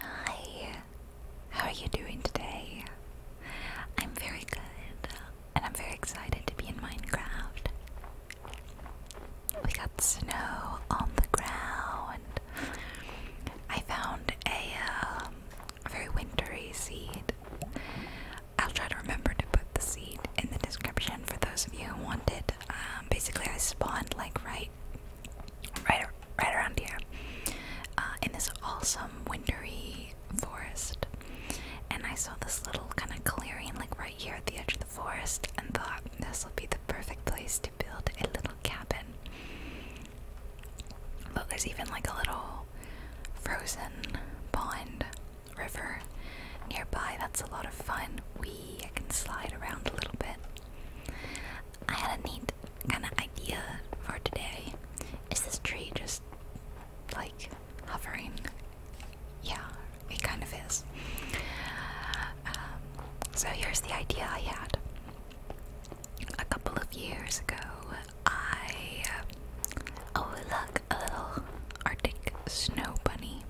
Hi, how are you doing today? I'm very good, and I'm very excited to be in Minecraft. We got snow on the ground. I found a um, very wintry seed. I'll try to remember to put the seed in the description for those of you who want it. Um, basically, I spawned like right right, right around here, uh, in this awesome wintry forest. And I saw this little kind of clearing, like right here at the edge of the forest, and thought this would be the perfect place to build a little cabin. Look, there's even like a little frozen pond river nearby. That's a lot of fun. We can slide around a little bit. I had a neat kind of idea for today. Is this tree just like hovering? Yeah, it kind of is. Um, so here's the idea I had. A couple of years ago, I. Oh, look, a little Arctic snow bunny.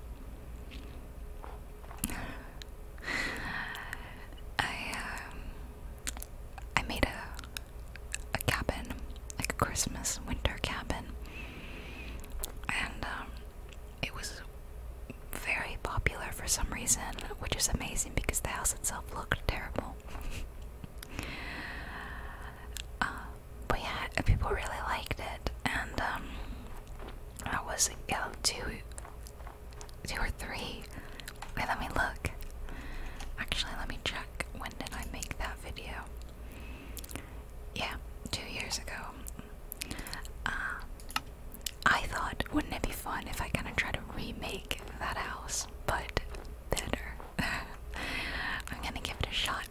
I um, I made a a cabin, like a Christmas winter cabin, and um, it was very popular for some reason, which is amazing because the house itself looked terrible. Uh, but yeah, people really liked it, and um, I was able to Two or three. Wait, let me look. Actually, let me check. When did I make that video? Yeah, two years ago. Uh, I thought, wouldn't it be fun if I kind of try to remake that house, but better? I'm gonna give it a shot.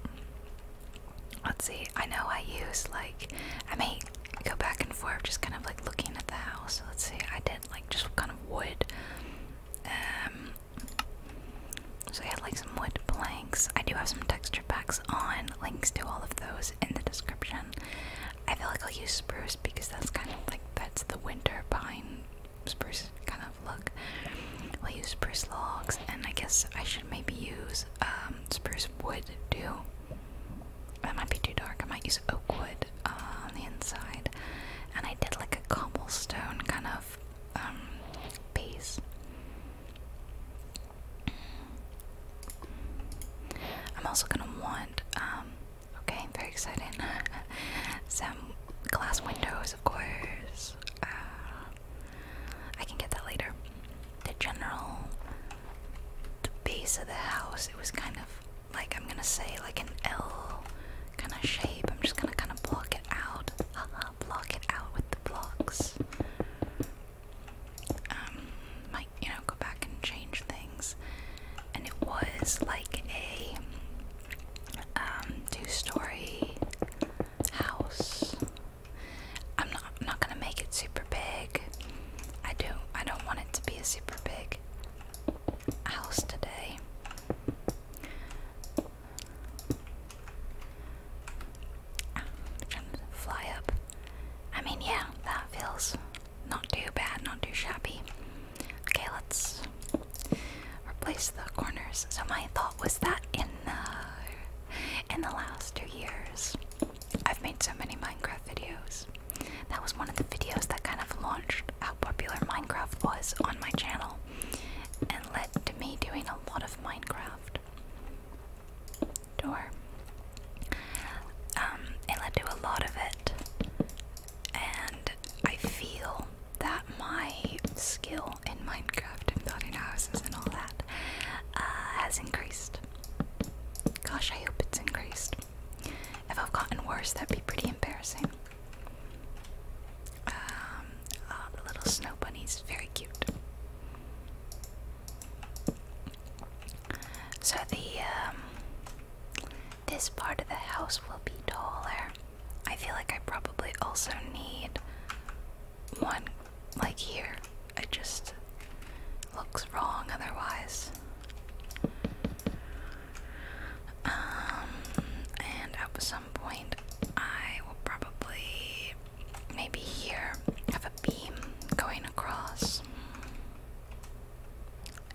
Let's see. I know I use like I made go back and forth, just kind of like looking at the house. So let's see, I did like just kind of wood. Um, so I had like some wood planks. I do have some texture packs on. Links to all of those in the description. I feel like I'll use spruce because that's kind of like that's the winter pine spruce kind of look. We'll use spruce logs, and I guess I should maybe use um, spruce wood too. That might be too dark. I might use oak wood uh, on the inside. And I did like a cobblestone kind of um, base. I'm also gonna want, um, okay, very exciting, some glass windows, of course. Uh, I can get that later. The general the base of the house, it was kind of like I'm gonna say like an L kind of shape. I'm just gonna kind of block it out, uh, block it out with the blocks. Um, might you know go back and change things. And it was like a um, two-story house. I'm not I'm not gonna make it super big. I do I don't want it to be a super big house today. trying to fly up. I mean yeah, that feels not too bad, not too shabby. Okay, let's replace the corners. So my thought was that in the in the last two years I've made so many Minecraft videos. That was one of the videos that kind of launched how popular Minecraft was on my channel and led to me doing a lot of Minecraft. Door. Um, led to a lot of it. And I feel that my skill in Minecraft and building houses and all that uh, has increased. Gosh, I hope it's increased. If I've gotten worse, that'd be pretty embarrassing. Um, uh, little snow bunny's very cute. So the um, this part of the house will be taller. I feel like I probably also need one like here it just looks wrong otherwise. Um, and at some point, I will probably maybe here have a beam going across,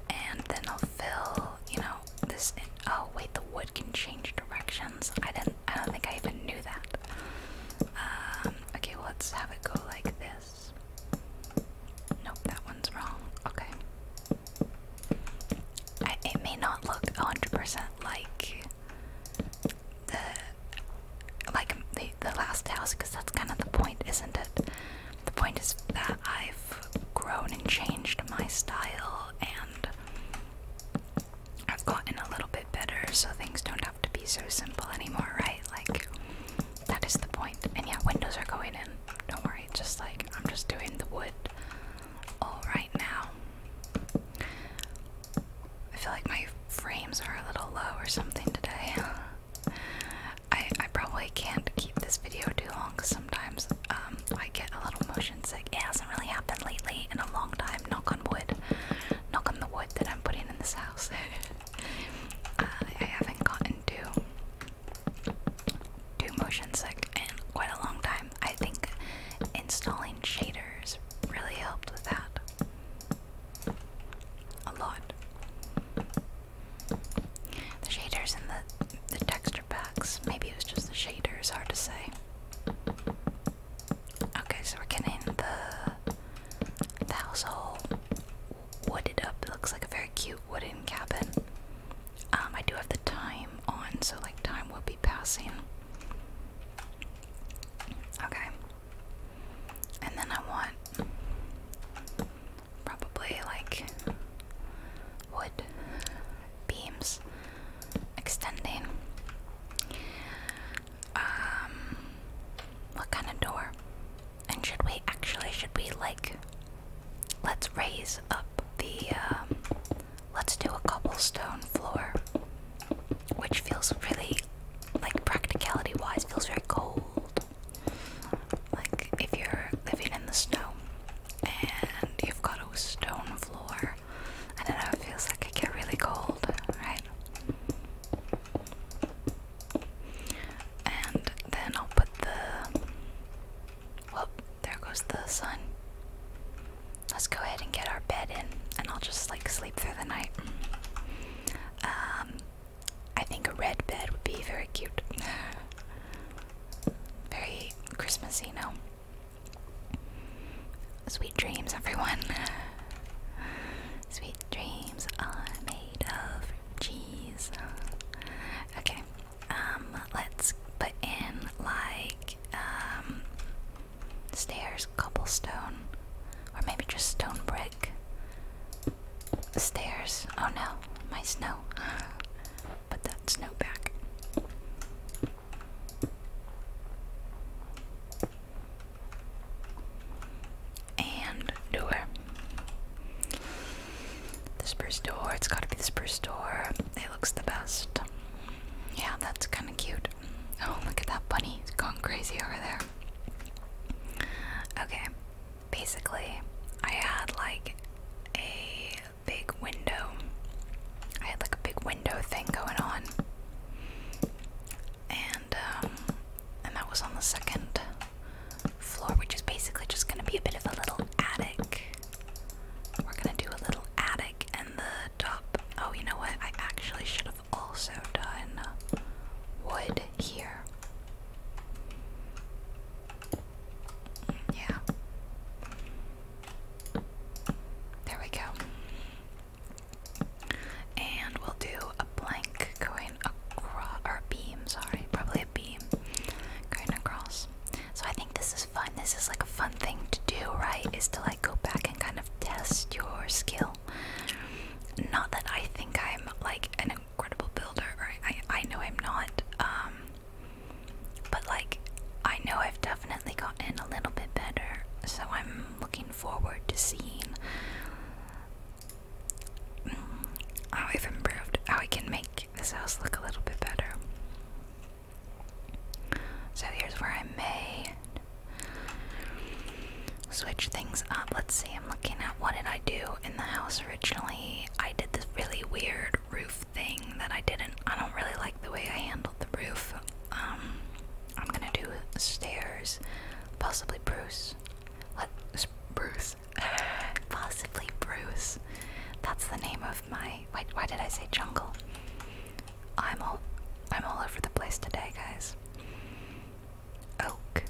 and then I'll fill, you know, this. oh wait, the wood can change directions. I didn't. I don't think I even knew that. Um, okay, let's have it go like this. Nope, that one's wrong. Okay. it may not look 100% like the like the, the last house because that's kind of the point, isn't it? The point is that I've grown and changed my style and I've gotten a little bit better so things don't have to be so simple anymore, right? Like that is the And yeah, windows are going in. Don't worry, just like I'm just doing the wood all right now. I feel like my frames are a little low or something today. I, I probably can't keep this video too long because sometimes um, I get a little motion sick. It hasn't really happened lately in a long time. Knock on wood. Knock on the wood that I'm putting in this house. Uh, I haven't gotten to do motion sick in quite a long time. I think installing shaders really helped with that a lot. The shaders in the the texture packs. Maybe it was just the shaders. Hard to say. Okay, so we're getting the, the household wooded up. It looks like a very cute wooden cabin. Um, I do have the time on, so like time will be passing. Okay. And then I want probably like wood beams extending. Um, what kind of door? And should we actually, should we like, let's raise up the, um, let's do a cobblestone floor, which feels really, like practicality wise, feels very cold. Like if you're living in the snow and you've got a stone floor, I don't know, it feels like it get really cold, right? And then I'll put the. Well, there goes the sun. Let's go ahead and get our bed in, and I'll just like sleep through the night. Um, I think a red bed would be very cute. very Christmassy, no? Sweet dreams, everyone. Sweet dreams are made of cheese. Okay, um, let's put in like um, stairs, cobblestone, or maybe just stone brick. Stairs. Oh no, my snow. Put that snow back. And door. The spruce door. It's gotta be the spruce door. It looks the best. Yeah, that's kinda cute. Oh, look at that bunny. It's gone crazy over there. Okay, basically, I had like a big window. I had like a big window thing going on and um, and that was on the second floor, which is basically just gonna be a bit of a little attic. We're gonna do a little attic and the top. Oh, you know what? I actually should have also done wood here. Yeah. There we go. And we'll do a blank going across, our a beam, sorry, probably a beam going across. So I think this is fun. This is like a fun thing to do, right? Is to like go back and kind of test your skill. Not that I think I'm like an incredible builder, or I, I know I'm not, um, but like I know I've definitely gotten a little bit better. So I'm looking forward to seeing how I've improved, how I can make this house look a little bit better. So here's where I may switch things up. Let's see, I'm looking at what did I do in the house originally. I did this really weird roof thing that I didn't, I don't really like the way I handled the roof. Um, I'm gonna do stairs, possibly Bruce. What? Bruce? Possibly Bruce. That's the name of my. Wait, why did I say jungle? I'm all. I'm all over the place today, guys. Oak.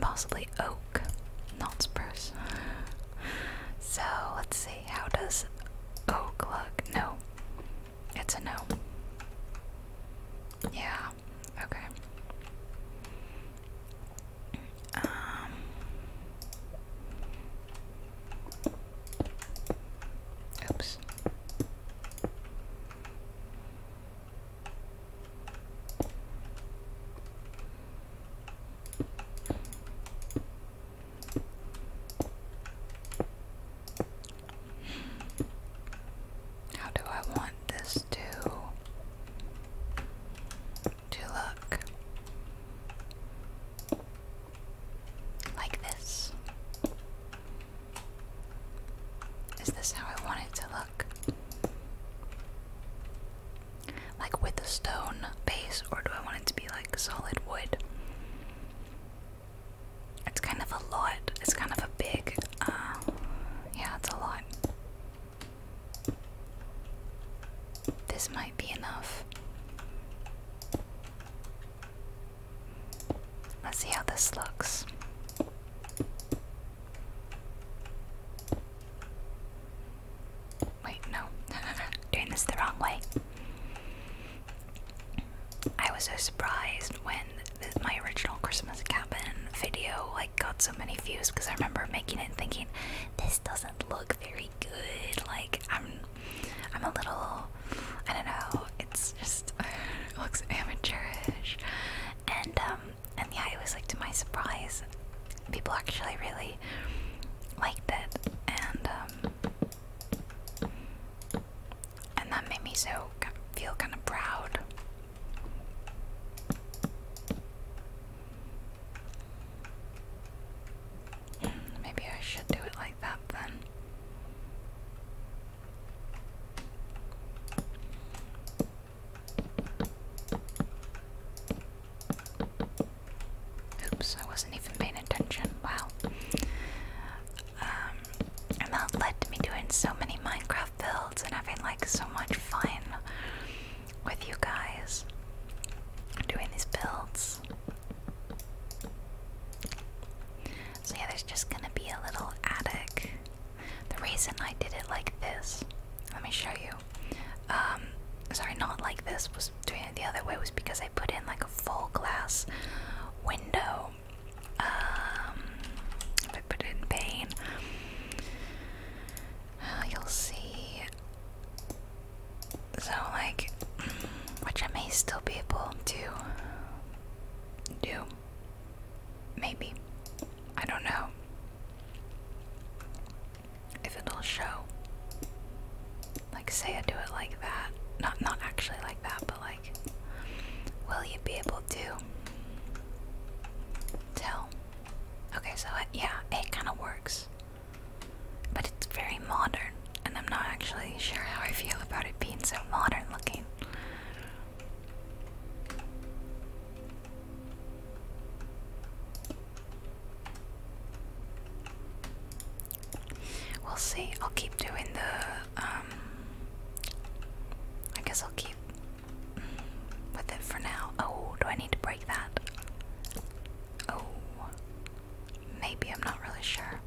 Possibly oak, not spruce. so let's see. How does oak look? No. It's a no. Yeah. Yeah. Okay. Um Oops. How do I want this to to look? Like this. Is this how I want it to look? Like with a stone base, or do I want it to be like solid wood? It's kind of a lot. It's kind of a big uh, yeah, it's a lot. This might be enough. Let's see how this looks. Wait, no. Doing this the wrong way. I was so surprised when my original Christmas cabin video got so many views because I remember making it and thinking this doesn't look very good. Like I'm, I'm a little, I don't know. It's just looks amateurish, and um, and yeah, it was like to my surprise, people actually really liked it, and um, and that made me so feel kind of proud. Maybe I should do it like that then. Oops, I wasn't even paying attention. Wow. Um, that led me doing so many Minecraft builds and having so much fun with you guys doing these builds. So, yeah, there's just gonna be a little attic. The reason I did it like this, let me show you. Um, sorry, not like this, was doing it the other way, was because I put in like a full glass window um, if I put it in pain, uh, you'll see. So, like, which I may still be able to do. Maybe. I don't know if it'll show. Like, say I do it like that. Not, not actually like that, but like, will you be able to Tell. Okay, so it, yeah, it kind of works. But it's very modern, and I'm not actually sure how I feel about it being so modern looking. We'll see. I'll keep doing the. Um, I guess I'll keep with it for now. Oh, do I need to break that? Oh, maybe I'm not really sure.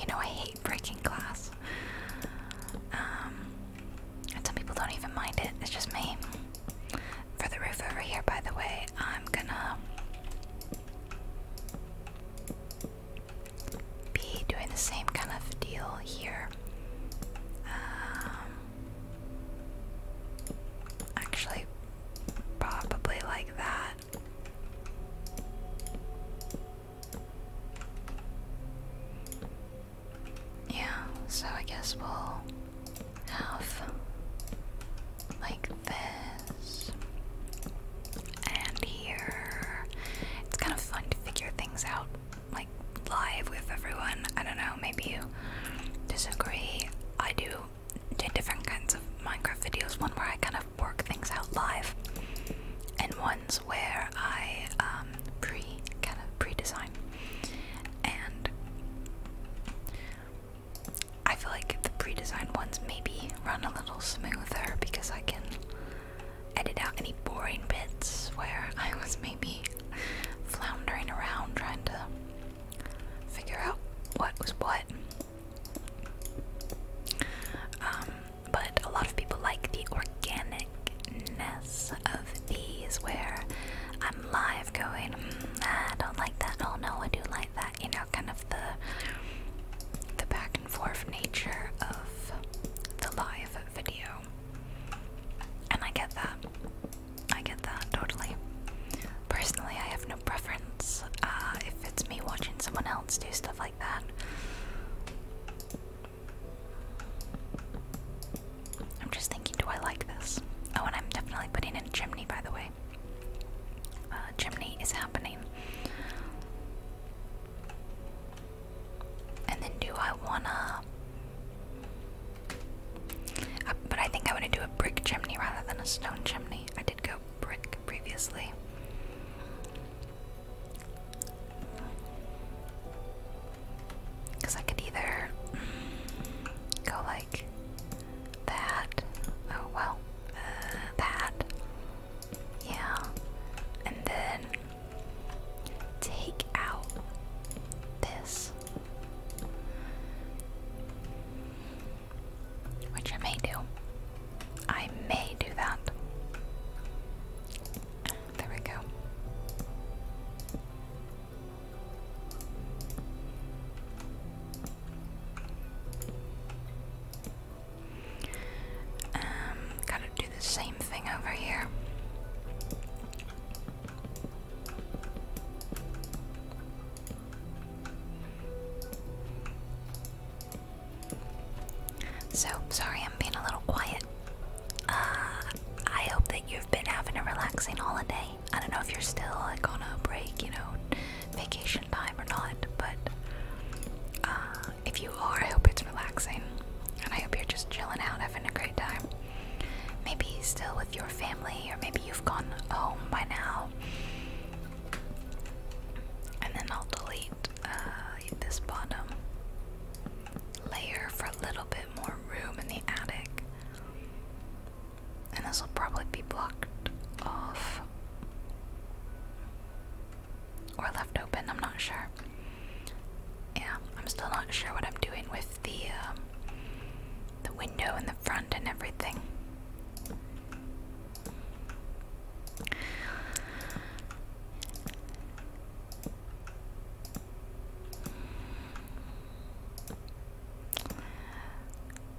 You know, I hate breaking glass. Um, some people don't even mind it. It's just me. For the roof over here, by the way, I'm gonna be doing the same kind of deal here. Um, actually, probably like that. Yeah, so I guess we'll have like this and here. It's kind of fun to figure things out like live with everyone. I don't know, maybe you disagree. I do do different kinds of Minecraft videos, one where I kind of work things out live, and ones where I um, pre kind of pre-design. And I feel like the pre-designed ones maybe run a little smoother because I can edit out any boring bits where I was maybe floundering around trying to figure out what was what. Um, but a lot of people like the organicness of these where I'm live going, mm, I don't like that, oh no, I do like that, you know, kind of the the back and forth nature of the live video. And I get that. I get that totally. Personally, I have no preference. Uh, if it's me watching someone else do stuff like that, I'm just thinking, do I like this? Oh, and I'm definitely putting in chimney, by the way. Uh, chimney is happening. And then do I wanna. Uh, but I think I wanna do a brick chimney rather than a stone chimney. I did go brick previously. Because I could either go like that. Oh well. Uh, that. Yeah. And then take out this. Which I may do. I may do that. There we go. Um, gotta do the same thing over here. So, sorry I'm being a little quiet. Uh, I hope that you've been having a relaxing holiday. I don't know if you're still like on a break, you know, vacation time or not, but uh, if you are, I hope it's relaxing. And I hope you're just chilling out, having a great time. Maybe still with your family, or maybe you've gone home by now. And then I'll delete uh, this bottom layer for a little bit more room in the attic. And this will probably be blocked off. Or left open, I'm not sure. Yeah, I'm still not sure what I'm doing with the um, the window in the front and everything.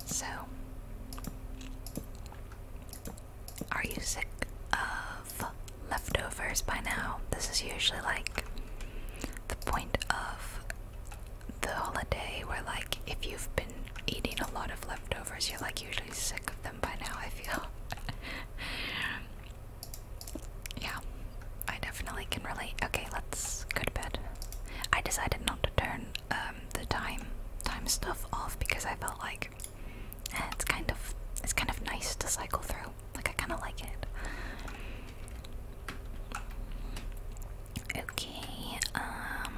So, are you sick of leftovers by now. This is usually like the point of the holiday where, like, if you've been eating a lot of leftovers, you're like usually sick of them by now, I feel. yeah, I definitely can relate. Okay, let's go to bed. I decided not to turn um, the time time stuff off because I felt like it's kind of it's kind of nice to cycle through. Like I kind of like it. Okay. Um,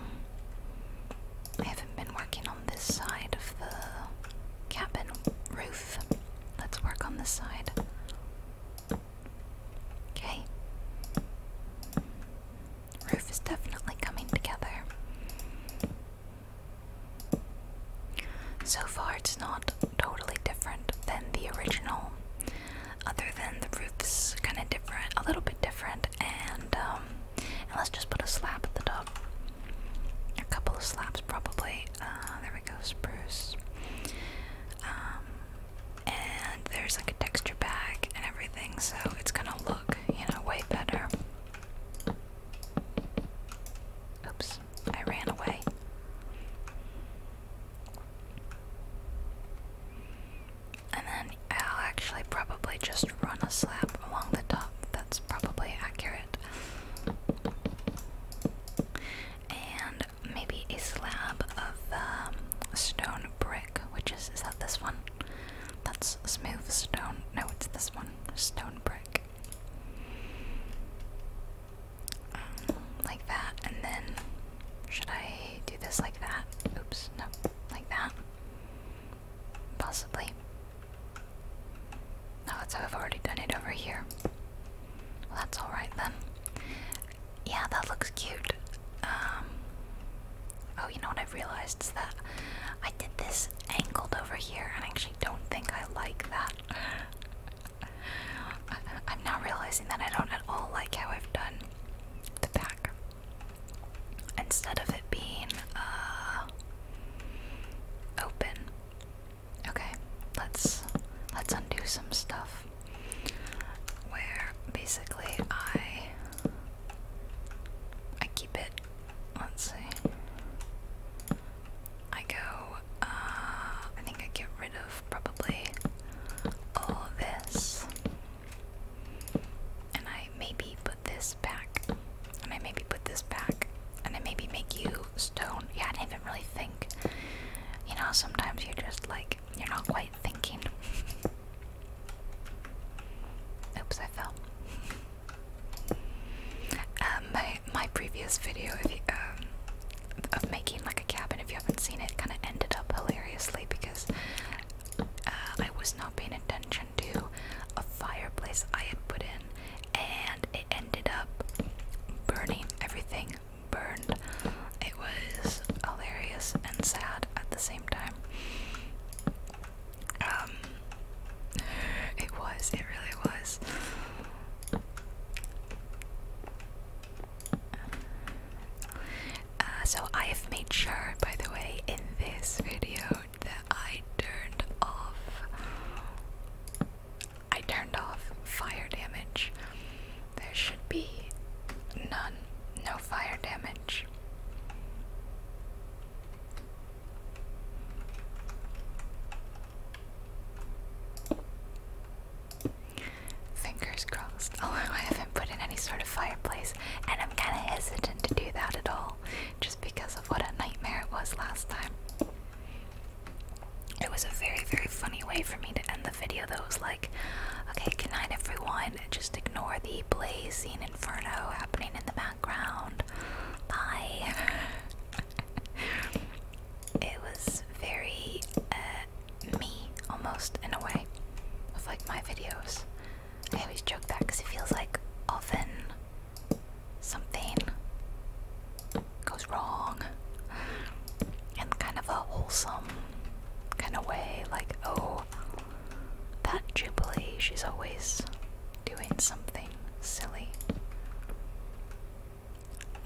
I haven't been working on this side of the cabin roof. Let's work on this side. Okay. Roof is definitely coming together. So far, it's not totally different than the original, other than the roof's kind of different, a little bit different, um, and, let's just put a slab at the top. A couple of slabs, probably. Uh, there we go, spruce. Um, and there's like a texture bag and everything, so it's gonna look, you know, way better. Oops. I ran away. And then I'll actually probably just run a slab along the top. That's probably accurate. And maybe a slab of um, stone brick, which is, is that this one? That's smooth stone. No, it's this one. Stone brick. Um, like that, and then should I do this like that? Oops, no, like that. Possibly. Oh, that's how I've already done it over here. that's alright then. Yeah, that looks cute. Um, oh, you know what I've realized is that I did this angled over here, and I actually don't think I like that. I, am now realizing that I don't at all like how I've done the back. Instead of it being uh, open. Okay, let's let's undo some stuff. Where basically I I keep it. Let's see. I go, uh, I think I get rid of probably all of this. And I maybe put this back. And I maybe put this back. And I maybe make you stone. Yeah, I didn't even really think. You know, sometimes you're just like, you're not quite thinking. Oops, I fell. Um, my my previous video um, of, making like a cabin, if you haven't seen it, kind of ended up hilariously because uh, I was not paying attention to a fireplace I had put in, and it ended up burning. Everything burned. It was hilarious and sad at the same time. Um, it was, it really was. Uh, so, I have made sure, by the way, in this video that I turned off. I turned off fire damage. There should be none, no fire damage. Fingers crossed. Although oh, I haven't put in any sort of fireplace, and I'm kind of hesitant to do that at all, just because of what a nightmare it was last time. It was a very, very funny way for me to end the video, though. It was like, okay, good night, everyone. Just ignore the blazing inferno happening in the background. Bye. it was very uh, me almost in a way of like my videos. I always joke that because it feels like often something goes wrong in kind of a wholesome kind of way, like, oh, that Jubilee, she's always doing something silly.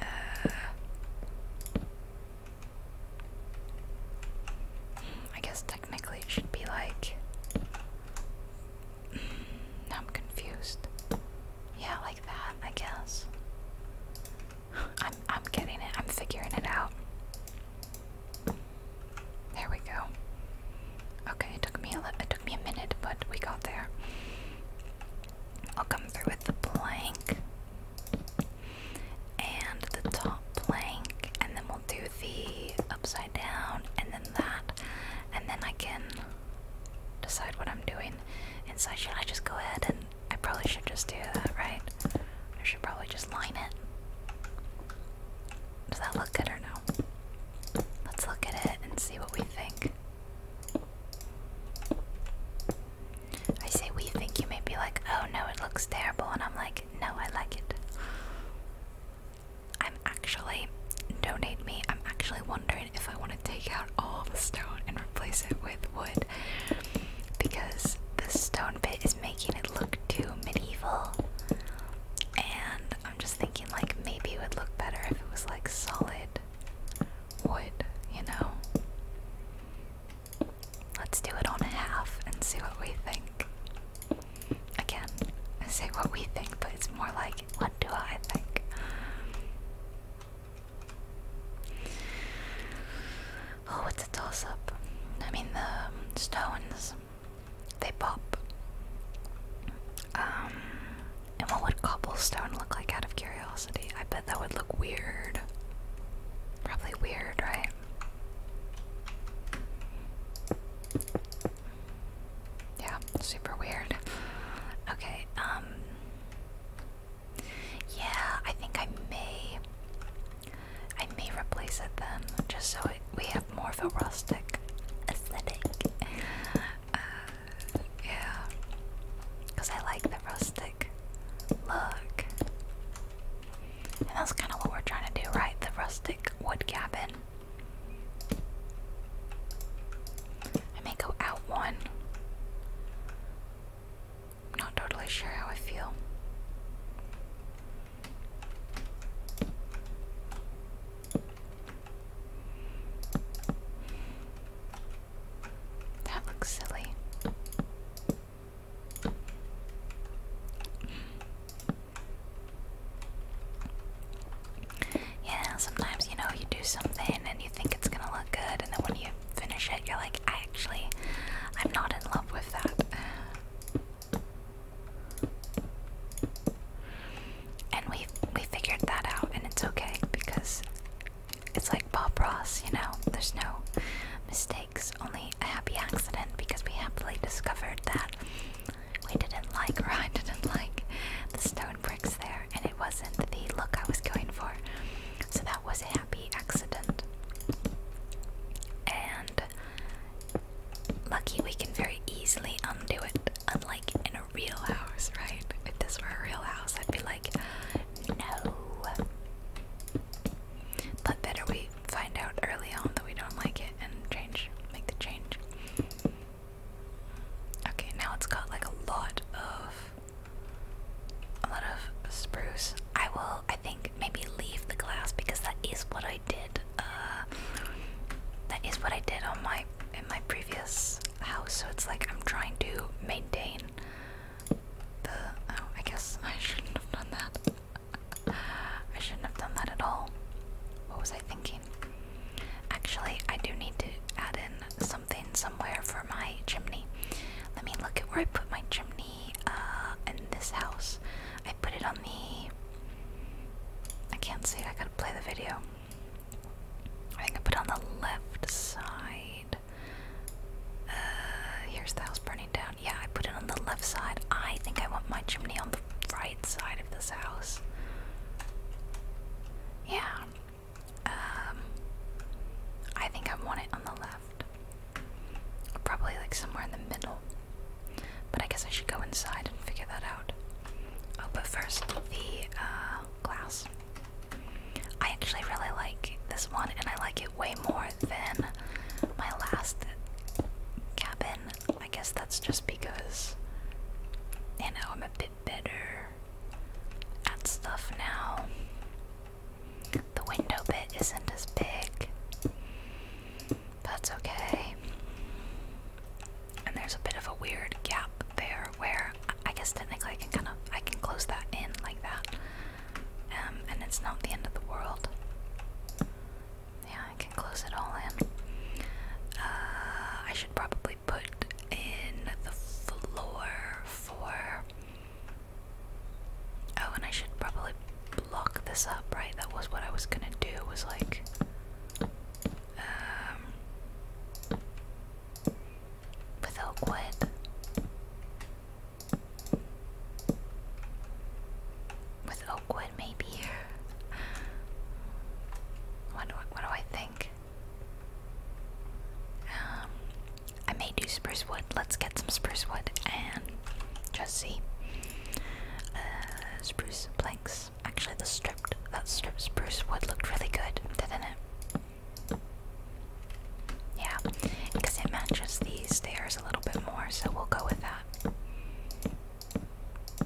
Uh, I guess technically it should be like. Mm, I'm confused. Yeah, like that, I guess. I'm I'm getting it. I'm figuring it out. There we go. Okay, it took me a it took me a minute, but we got there. I'll come through with the plank and the top plank, and then we'll do the upside down, and then that, and then I can decide what I'm doing inside. Should I just go ahead and I probably should just do that, right? I should probably just line it. Does that look good or no? Let's look at it and see what we think. I say we think you may be like, oh no, it looks terrible, and I'm like, no, I like it. I'm actually, donate me, I'm actually wondering if I want to take out all the stone and replace it with wood. Because the stone bit is making it look too medieval. And I'm just thinking like maybe it would look better if it was like solid wood, you know? Let's do it on a half and see what we think. Again, say what we think, but it's more like what do I think? Oh, it's a toss up. I mean, the stones, they pop. Um, and what would cobblestone look like out of curiosity? I bet that would look weird. Probably weird, right? Yeah, super weird. Okay, um. Yeah, I think I may. I may replace it then, just so we have more of a rustic aesthetic. Uh, yeah, because I like the rustic look. And that's kind of what we're trying to do, right? The rustic wood cabin. I may go out one. not totally sure how I feel. That looks silly. Yeah, sometimes you know you do something and you think it's gonna look good, and then when you finish it, you're like, I actually, I'm not in love with that and we we figured that out, and it's okay because it's like Bob Ross, you know. There's no mistakes, only a happy accident because we happily discovered that we didn't like or I didn't like the stone bricks there, and it wasn't the look I was going for. So that was a happy accident. And lucky we can very easily undo it unlike in a real house, right? If this were a real house, I'd be like, no. But better we find out early on that we don't like it and change, make the change. Okay, now it's got like a lot of, a lot of spruce. I will, I think, maybe leave the glass because that is what I did uh, that is what I did on my in my previous house. So it's like I'm trying to maintain the. Oh, I guess I shouldn't have done that. I shouldn't have done that at all. What was I thinking? Actually, I do need to add in something somewhere for my chimney. Let me look at where I put my chimney uh, in this house. I put it on the. I can't see I gotta play the video. I think I put on the left side. Uh, here's the house burning down. Yeah, I put it on the left side. I think I want my chimney on the right side of this house. Yeah. Um, I think I want it on the left. Probably like somewhere in the middle. But I guess I should go inside and figure that out. Oh, but first, the uh, glass. I actually really like this one, and I like it way more than my last cabin. I guess that's just because, you know, I'm a bit better at stuff now. The window bit isn't as big. That's okay and there's a bit of a weird gap there where I guess technically I can kind of I can close that in like that, um, and it's not the end of the world. Yeah, I can close it all in. Uh, I should probably put in the floor for. Oh, and I should probably block this up, right? That was what I was gonna do. Was like um, with oak wood. With oak wood, maybe. what, do I, think? Um, I may do spruce wood. Let's get some spruce wood and just see. Uh, spruce planks. Actually, the stripped that stripped spruce wood looked really good, didn't it? Yeah, because it matches these stairs a little bit more, so we'll go with that.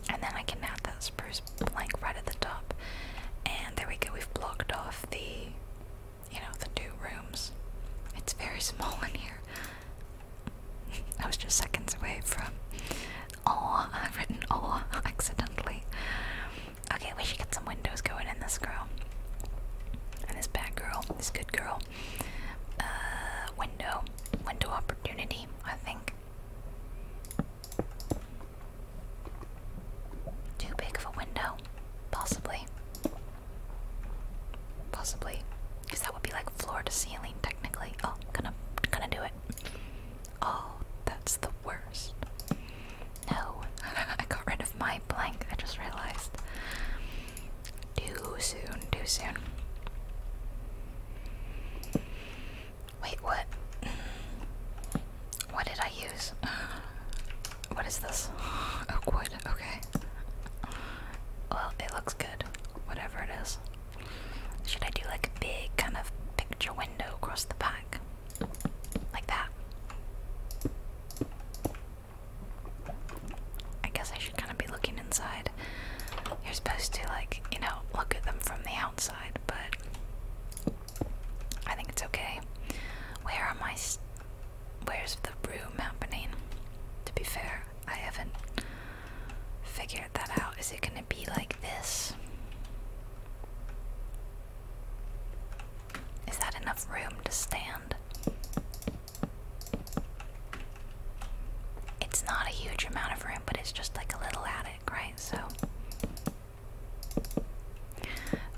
And then I can add that spruce plank right at the top. And there we go, we've blocked off the, you know, the two rooms. It's very small in here. I was just seconds away from Oh, uh, I've written oh accidentally. Okay, we should get some windows going in this girl. And this bad girl, this good girl. Uh, window. Window opportunity, I think. Too big of a window? Possibly. Possibly. Because that would be like floor to ceiling technically. Oh, gonna gonna do it. Oh, that's the worst. No, I got rid of my blank, I just realized. Too soon, too soon. Wait, what? What did I use? What is this? Oak wood, okay. Well, it looks good, whatever it is. Should I do like a big kind of picture window across the back? Like that. I guess I should kind of be looking inside. You're supposed to, like, you know, look at them from the outside, but I think it's okay. Where are my. Where's the room happening? To be fair, I haven't figured that out. Is it gonna be like this? Is that enough room to stand? It's not a huge amount of room, but it's just like a little attic, right? So,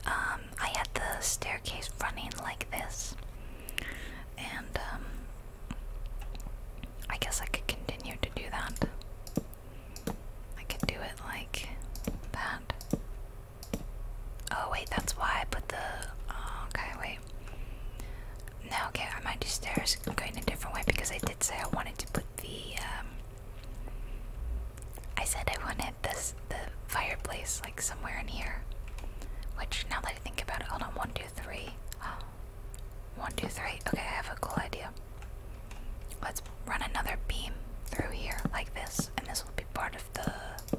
um, I had the staircase running like this, and um, I guess I could continue to do that. I can do it like that. Oh, wait, that's why I put the. Oh, okay, wait. No, okay, I might do stairs going a different way because I did say I wanted to put the. Um, I said I wanted this the fireplace like somewhere in here. Which now that I think about it, hold on, one, two, three. Oh, one, two, three. Okay, I have a cool idea. Let's run another beam through here like this, and this will be part of the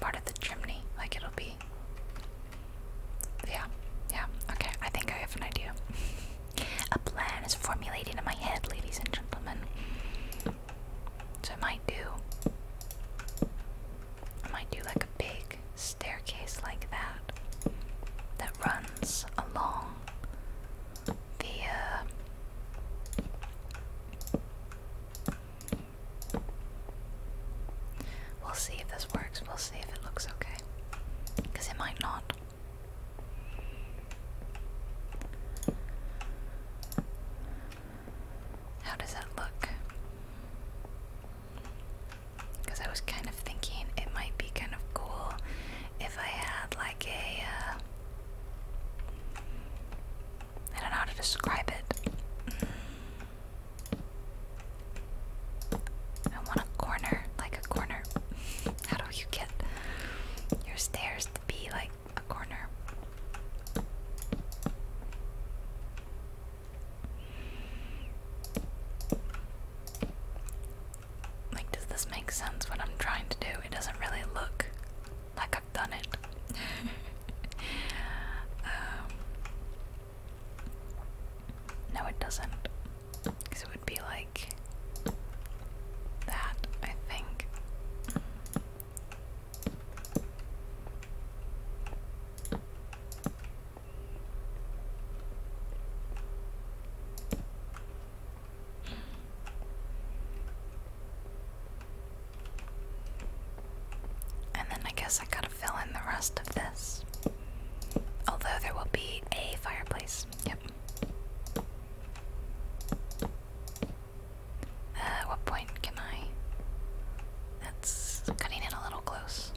part of the chimney. Like it'll be Yeah, yeah. Okay, I think I have an idea. A plan is formulating in my head, ladies and gentlemen. So I might do I might do like a big staircase like that that runs along the uh, we'll see if this works we'll see if it looks okay because it might not how does that look because I was kind of thinking it might be kind of cool if I had like a. Uh, don't know how to describe it. I want a corner, like a corner. How do you get your stairs to be like a corner? Like, does this make sense what I'm trying to do? It doesn't really look like I've done it. Um, no, it doesn't. Because would be like that, I think. And then I guess I gotta fill in the rest of this. Although there will be a fireplace. Yep. At uh, what point can I? That's cutting it a little close.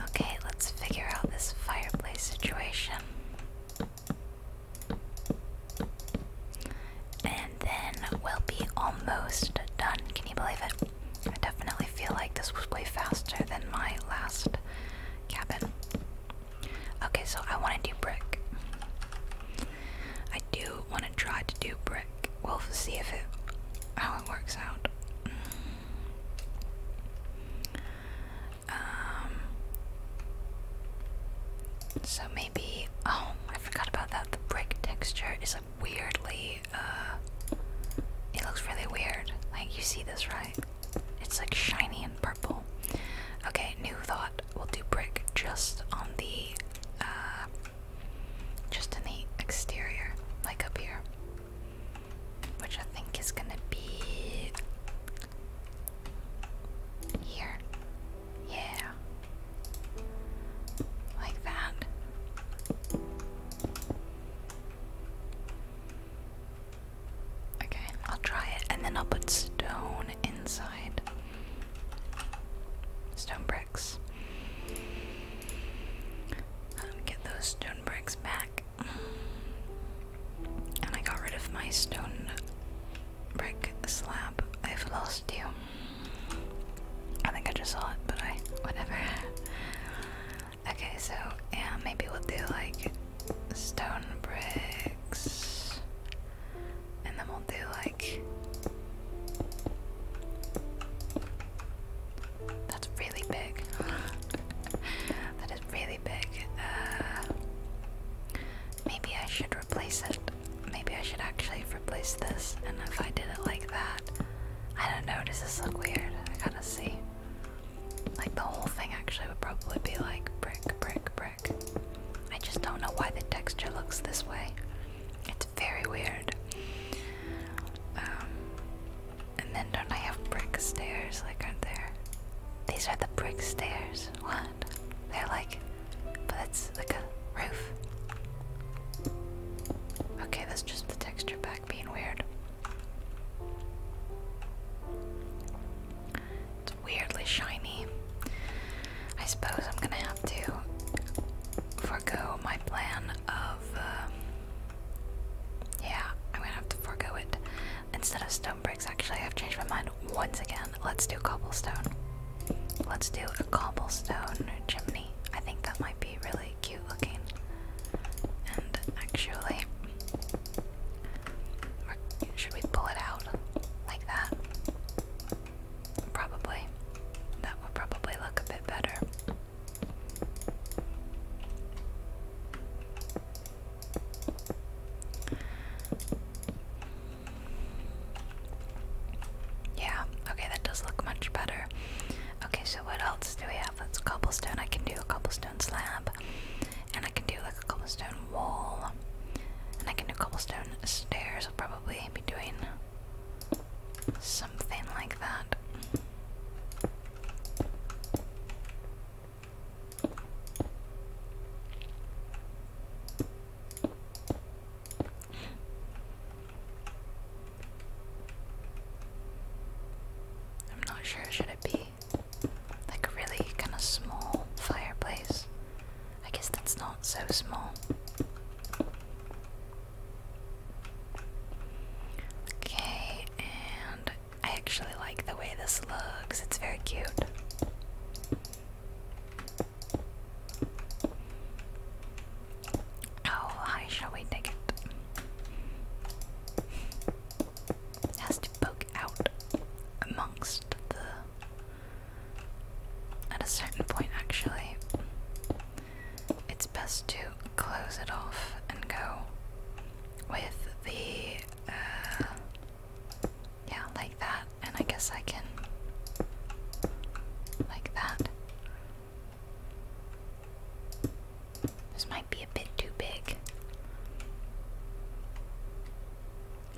Okay, let's figure out this fireplace situation. And then we'll be almost done. Can you believe it? I definitely feel like this was way faster than my last cabin. Okay, so I want to do brick. I do want to try to do brick. We'll see if it how it works out. Mm. Um, so maybe oh I forgot about that. The brick texture is like weirdly uh it looks really weird. Like you see this right? It's like shiny and purple. Okay, new thought. We'll do brick just on the uh just in the exterior, like up here, which I think is gonna be here. Yeah. Like that. Okay, I'll try it and then I'll put stone inside. Stone bricks. Um, get those stone bricks back. And I got rid of my stone brick slab. I've lost you. I think I just saw it, but I. whatever. okay, so, yeah, maybe we'll do like stone bricks. And then we'll do like that's really big. that is really big. Uh, maybe I should replace it. Maybe I should actually replace this. And if I did it like that, I don't know. Does this look weird? I gotta see. Like the whole thing actually would probably be like brick, brick, brick. I just don't know why the texture looks this way. It's very weird. Um, and then don't I have brick stairs? Like, aren't there? These are the brick stairs. What? They're like, but it's like a roof. Okay, that's just the texture back being weird. It's weirdly shiny. I suppose I'm gonna have to forego my plan of. Uh, yeah, I'm gonna have to forego it. Instead of stone bricks, actually, I've changed my mind once again. Let's do cobblestone. Let's do a cobblestone chimney. I think that might be really cute looking. And actually, should we pull it out like that? Probably. That would probably look a bit better. Yeah, okay, that does look much better. Okay, so what else do we have? That's cobblestone. I can do a cobblestone slab, and I can do like a cobblestone wall, and I can do cobblestone stairs. I'll probably be doing Something like that. I'm not sure, should it be like a really kind of small fireplace? I guess that's not so small. Okay, and I actually like the way this looks. It's very cute. How oh, shall we dig it? it has to poke out amongst the. At a certain point, actually, it's best to close it off and go with the uh, yeah like that and I guess I can like that this might be a bit too big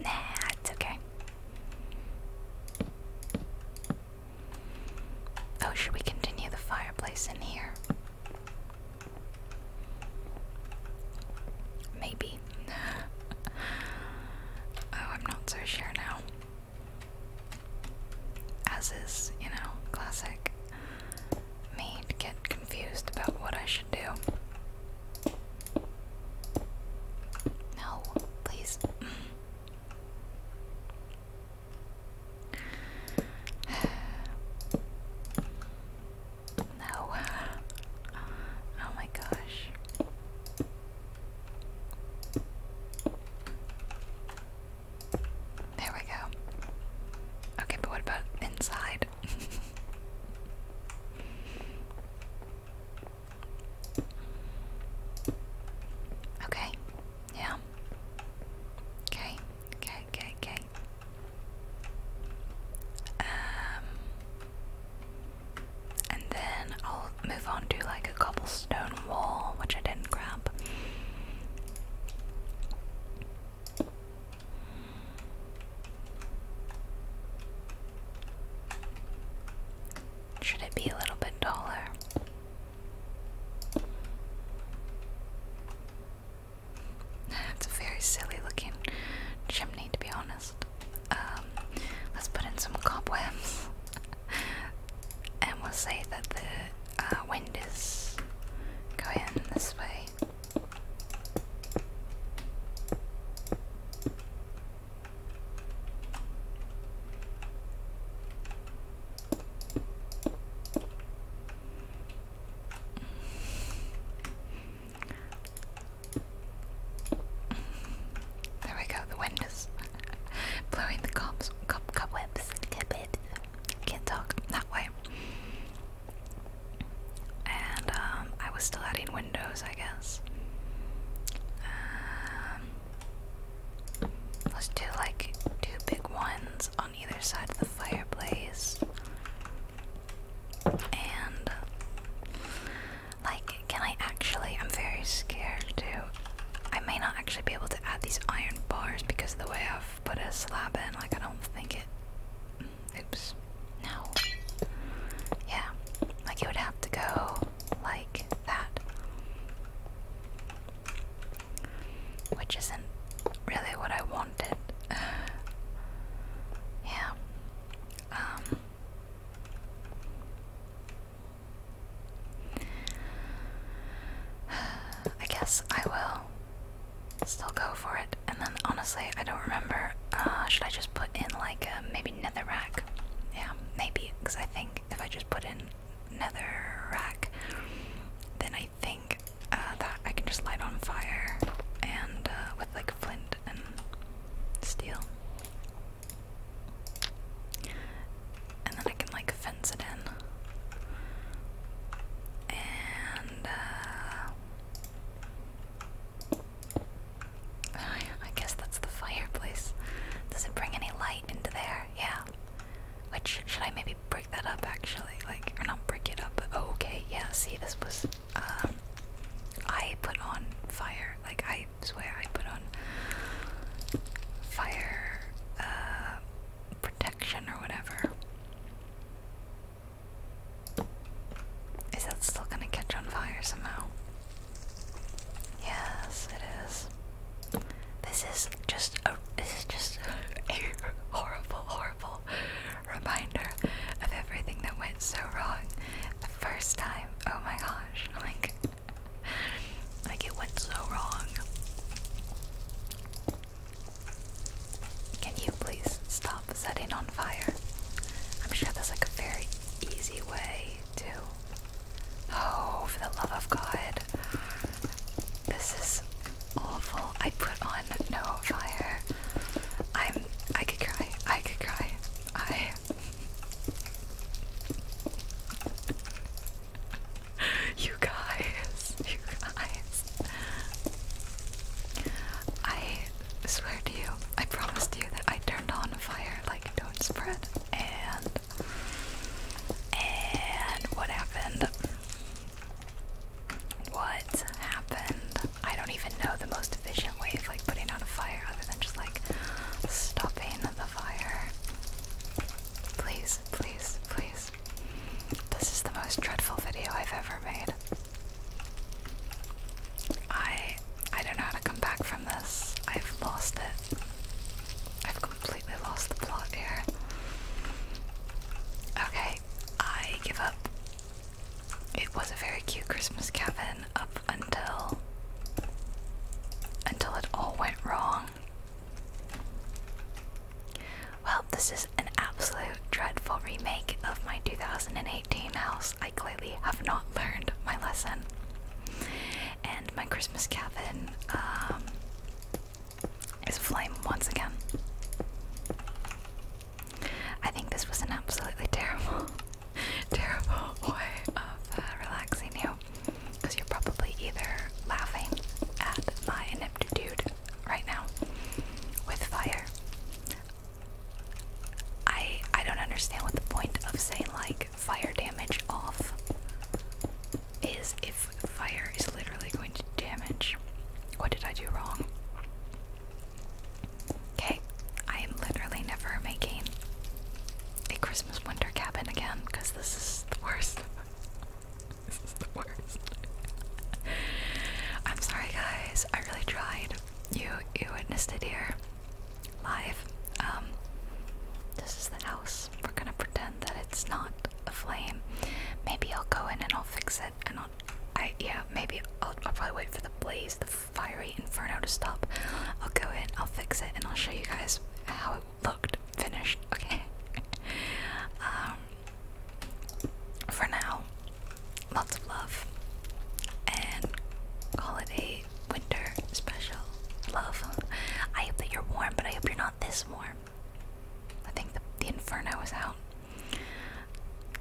nah it's okay Oh, should we continue the fireplace in here? Maybe. oh, I'm not so sure now. As is, you know, classic me get confused about what I should do. No, please. No. Oh my gosh. There we go. Okay, but what about inside? Okay. Yeah. Okay. Okay. Okay. Okay. Um, and then I'll move on to like a cobblestone wall, which I didn't grab. Should it be a little bit taller? That's a very silly looking chimney, to be honest. Um, let's put in some cobwebs, and we'll say that the uh, wind is going this way. There we go, the wind is blowing the cobs, cob, cobwebs. Can't talk that way. And um, I was still adding windows, I guess. Um, Let's do like two big ones on either side of the fireplace. And like, can I actually? I'm very scared too. I may not actually be able to add these iron bars because of the way I've put a slab in. Like, I don't think it. Oops. No. Yeah. Like, you would have to go like that. Which isn't really what I wanted. yeah. Um. I guess I will still go for it. And then honestly, I don't remember. Uh, should I just put in like maybe nether netherrack? Yeah, maybe, because I think if I just put in nether rack, then I think uh, that I can just light on fire and uh, with like flint and steel. And then I can like fence it in. And uh, I guess that's the fireplace. Does it bring any light into there? Yeah. Which should I maybe break that up actually? Like, or not break it up, but oh, okay, yeah, see, this was. Um, I put on fire. Like, I swear I put on fire uh, protection or whatever. Is that still gonna catch on fire somehow? Yes, it is. This is just a this is just a horrible, horrible reminder of everything that went so wrong the first time. Oh my gosh! Like, like it went so wrong. Can you please stop setting on fire? I'm sure there's like a very easy way Oh, for the love of God. This is awful. I put on no fire. I'm I could cry. I could cry. I You guys, you guys. I swear to you, I promised you that I turned on fire like don't spread and and what happened? What happened? I don't even know the most efficient way of like putting out a fire other than just like stopping the fire. Please, please, please. This is the most dreadful video I've ever made. I I don't know how to come back from this. I've lost it. I've completely lost the plot here. Okay, I give up. It was a very cute Christmas cabin up until until it all went wrong. Well, this is an absolute dreadful remake of my 2018 house. I clearly have not learned my lesson and my Christmas cabin um, is flame once again. I think this was an absolutely terrible, terrible way of uh, relaxing you because you're probably either laughing at my ineptitude right now with fire. I I don't understand what the point of saying like fire damage off is if fire is literally going to damage. What did I do wrong? Okay, I am literally never making a Christmas winter cabin again because this is the worst. this is the worst. I'm sorry, guys. I really tried. You you witnessed it here live. Um, this is the house. We're gonna pretend that it's not a flame. Maybe I'll go in and I'll fix it. And I'll, I yeah, maybe I'll, I'll probably wait for the blaze, the fiery inferno to stop. I'll go in, I'll fix it, and I'll show you guys how it looked finished. Okay. um, for now, lots of love, and call it a winter special. Love. I hope that you're warm, but I hope you're not this warm. I think the, the inferno was out.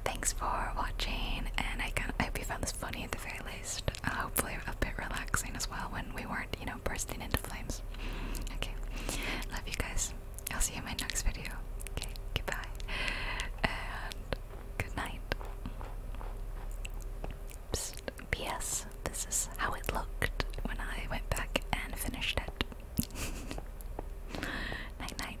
Thanks for watching, and I, kind I hope you found this funny at the very least. Uh, hopefully, a bit relaxing as well when we weren't, you know, bursting into flames. Okay, love you guys. I'll see you in my next video. Okay, goodbye, and good night. P.S. This is how it looked when I went back and finished it. night night.